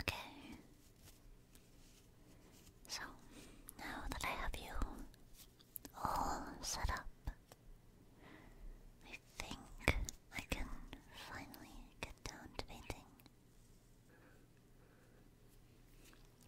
Okay. So, now that I have you all set up, I think I can finally get down to painting.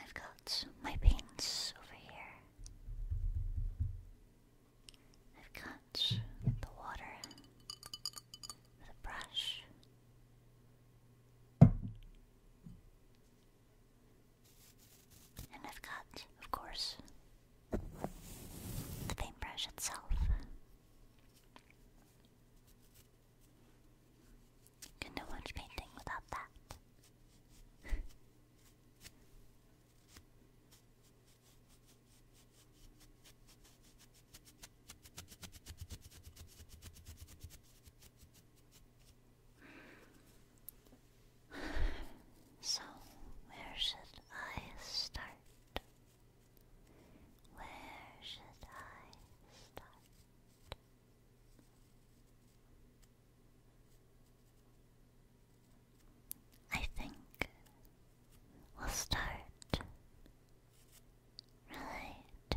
I've got my paints over here. I've got the water, the brush. And I've got, of course, the paintbrush itself. Couldn't watch painting without that. So, where should I start? Where should I start? I think we'll start right here.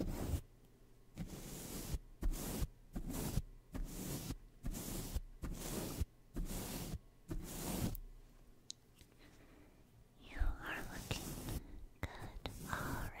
You are looking good already.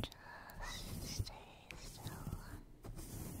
Just stay still. Just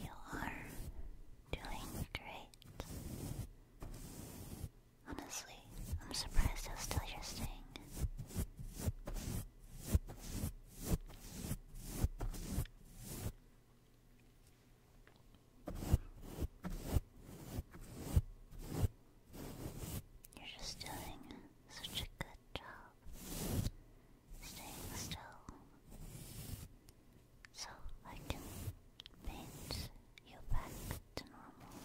You are doing great. Honestly, I'm surprised how still you staying. You're just doing such a good job staying still so I can paint you back to normal.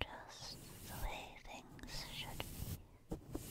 Just the way things should be.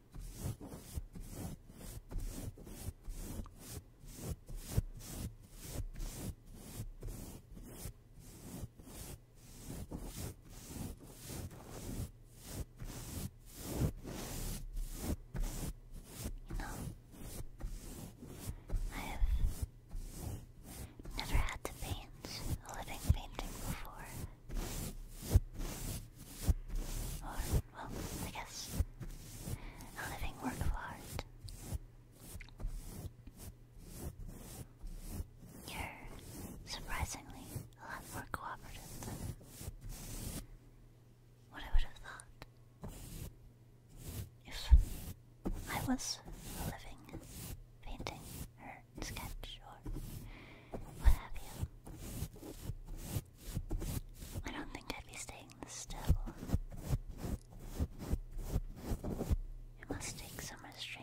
You know, I have never had to paint a living painting before. Or, well, I guess, a living work of art. You're surprisingly a lot more cooperative than what I would have thought. If I was a living painting or sketch or what have you. I don't think I'd be staying still. It must take some restraint.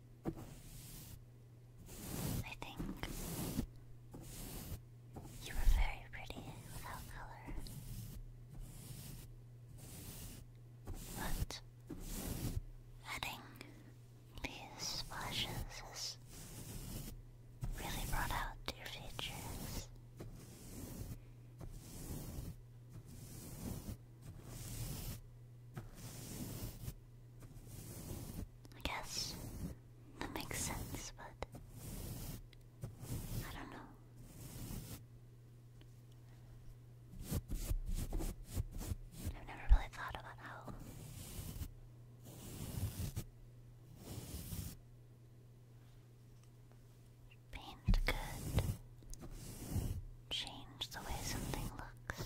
I think you were very pretty without color. But adding these splashes really brought out your features. I guess that makes sense, but I don't know. I've never really thought about how paint could change the way something looks.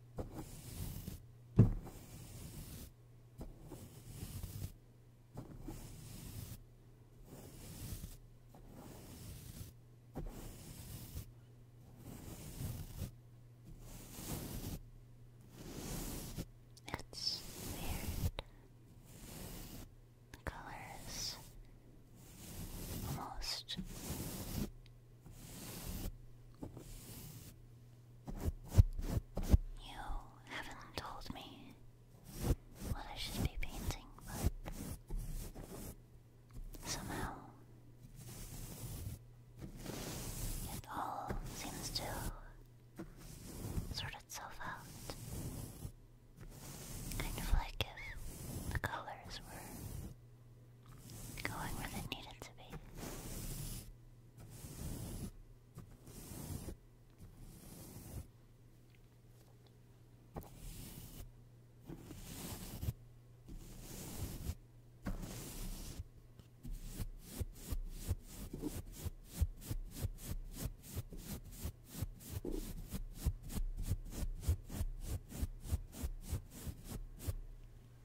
It's weird. The colors almost you haven't told me what I should be painting, but somehow it all seems to sort itself out. Kind of like if the colors were going where they needed to be.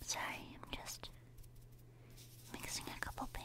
Sorry, I'm just mixing a couple paints.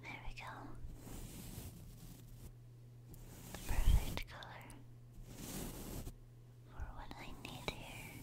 There we go. The perfect color for what I need here.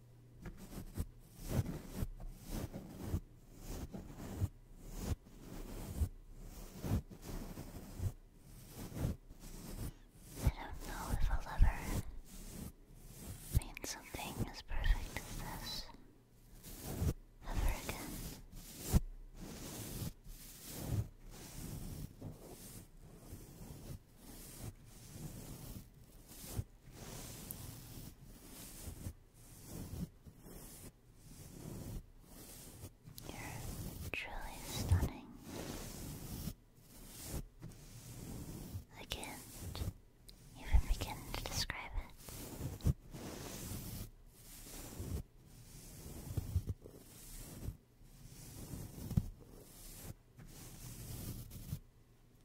I don't know if I'll ever paint something as perfect as this ever again. You're truly stunning. I can't even begin to describe it.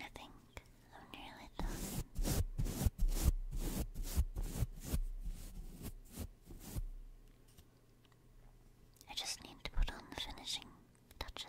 I think I'm nearly done. I just need to put on the finishing touches.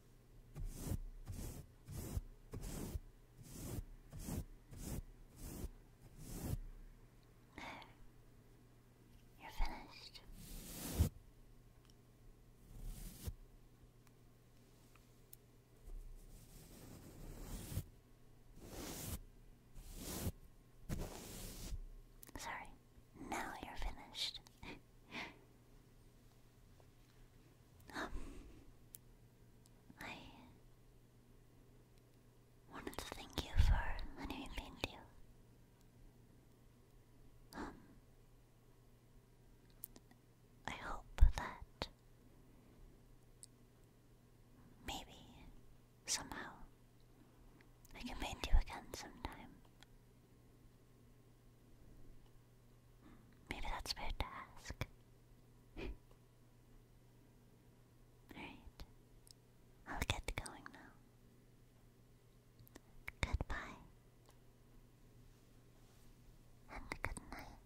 You're finished. Sorry, now you're finished. I wanted to thank you for letting me paint you. Um, I hope that maybe somehow I can paint you again sometime. Maybe that's weird to ask. Alright. I'll get going now. Goodbye. And good night.